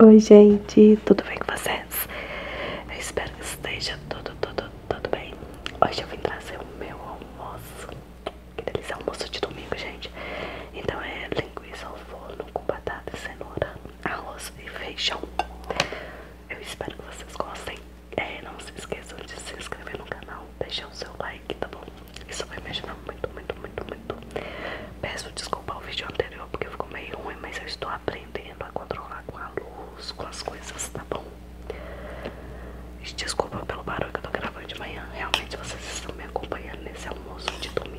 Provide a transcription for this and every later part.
Oi, gente, tudo bem com vocês? Eu espero que esteja tudo, tudo, tudo bem. Hoje eu vim trazer o meu almoço. Que delícia, almoço de domingo, gente. Então é linguiça ao forno com batata, cenoura, arroz e feijão. Eu espero que vocês gostem. É, não se esqueçam de se inscrever no canal, deixar o seu like, tá bom? Isso vai me ajudar muito, muito, muito, muito. Peço desculpa ao vídeo anterior porque ficou meio ruim, mas eu estou aprendendo a controlar com a luz, com as coisas, tá bom? Desculpa pelo barulho que eu tô gravando de manhã. Realmente vocês estão me acompanhando nesse almoço de domingo.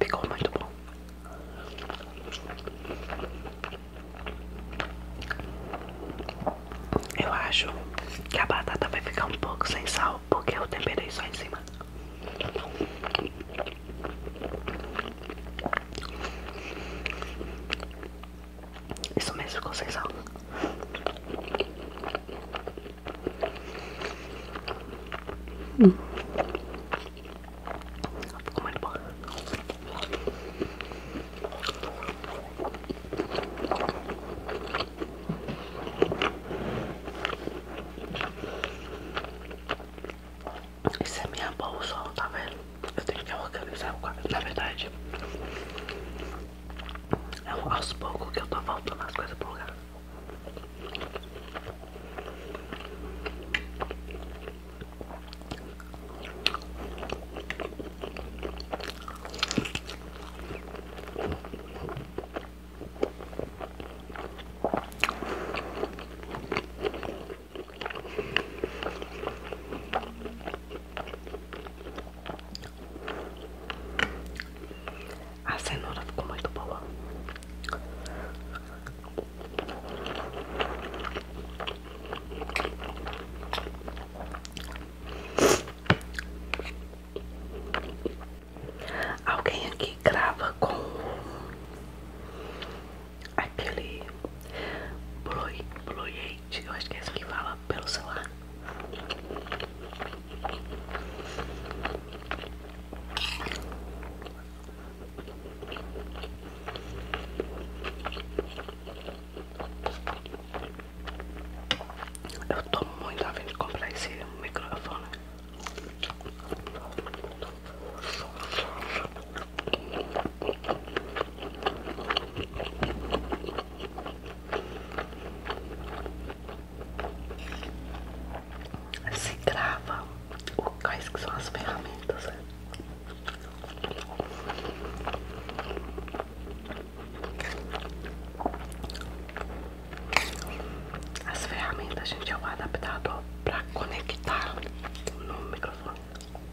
Ficou muito tá bom. Eu acho que a batata vai ficar um pouco sem sal, porque eu temperei só em cima. Isso mesmo ficou sem sal. Hum. Ficou muito bom. Isso é minha bolsa, tá vendo? Eu tenho que organizar o quarto, na verdade. É aos poucos que eu tô voltando as coisas para o lugar. A cenoura ficou muito boa. Alguém aqui grava com aquele blue, blue gente. Eu acho que é assim que fala pelo celular. Eu tô muito afim de comprar esse microfone se grava o quais que são as ferramentas. Né? As ferramentas, a gente, é o adaptador para conectar no microfone.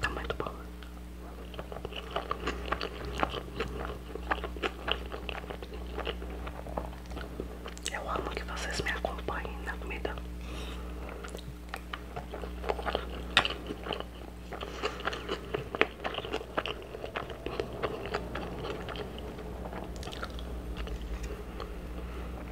Tá muito bom. Eu amo que vocês me acompanhem na comida.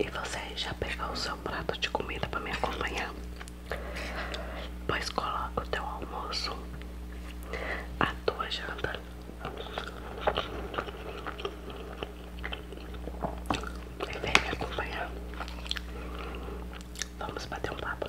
E você já pegou o seu prato de comida para me acompanhar? Pois coloca o teu almoço, a tua janta vem me acompanhar. Então, Vamos bater um papo.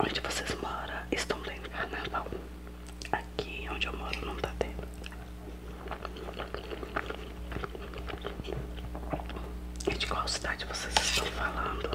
Onde vocês moram, estão tendo carnaval. Aqui onde eu moro não tá tendo. E de qual cidade vocês estão falando?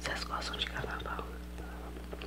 Vocês gostam de carnaval?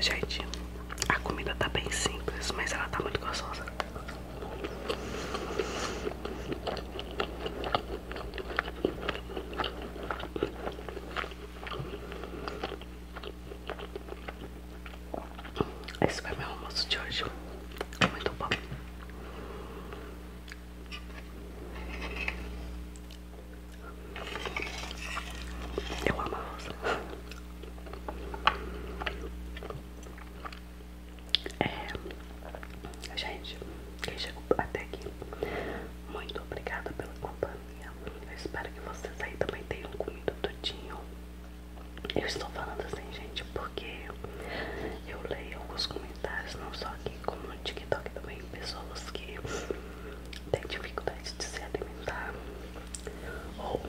Gente, a comida tá bem simples, mas ela tá muito gostosa. Esse foi meu almoço de hoje. É muito bom. Eu amo a rosa. É, gente, quem chegou até aqui, muito obrigada pela companhia. Eu espero que vocês aí também tenham comido tudinho. Eu estou falando assim, gente, porque eu leio alguns comentários, não só aqui, como no TikTok também, pessoas que têm dificuldade de se alimentar, ou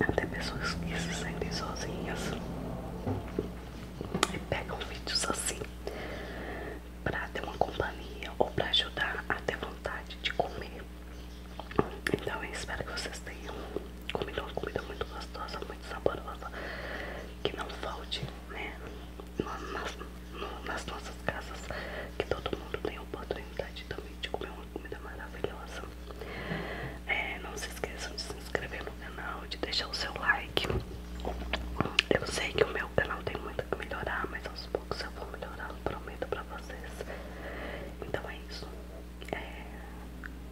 até pessoas que se sentem sozinhas e pegam vídeos assim pra ter uma companhia ou pra ajudar a ter vontade de comer. Então espero que vocês tenham comido uma comida muito gostosa, muito saborosa, que não falte, né? Nas, nossas casas, que todo mundo tenha oportunidade também de comer uma comida maravilhosa. É, não se esqueçam de se inscrever no canal, de deixar o seu like. Eu sei que o meu canal tem muito que melhorar, mas aos poucos eu vou melhorar, prometo pra vocês. Então é isso. É,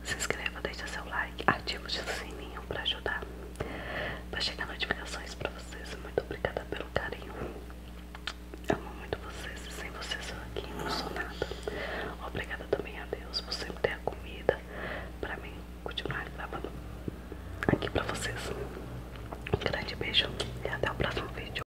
se inscreva, deixe seu like, ativa o sininho pra ajudar, pra chegar notificações pra vocês. Muito obrigada pelo carinho. Amo muito vocês e sem vocês eu aqui não sou nada. Obrigada também a Deus por sempre ter a comida pra mim continuar gravando aqui pra vocês. Um grande beijo e até o próximo vídeo.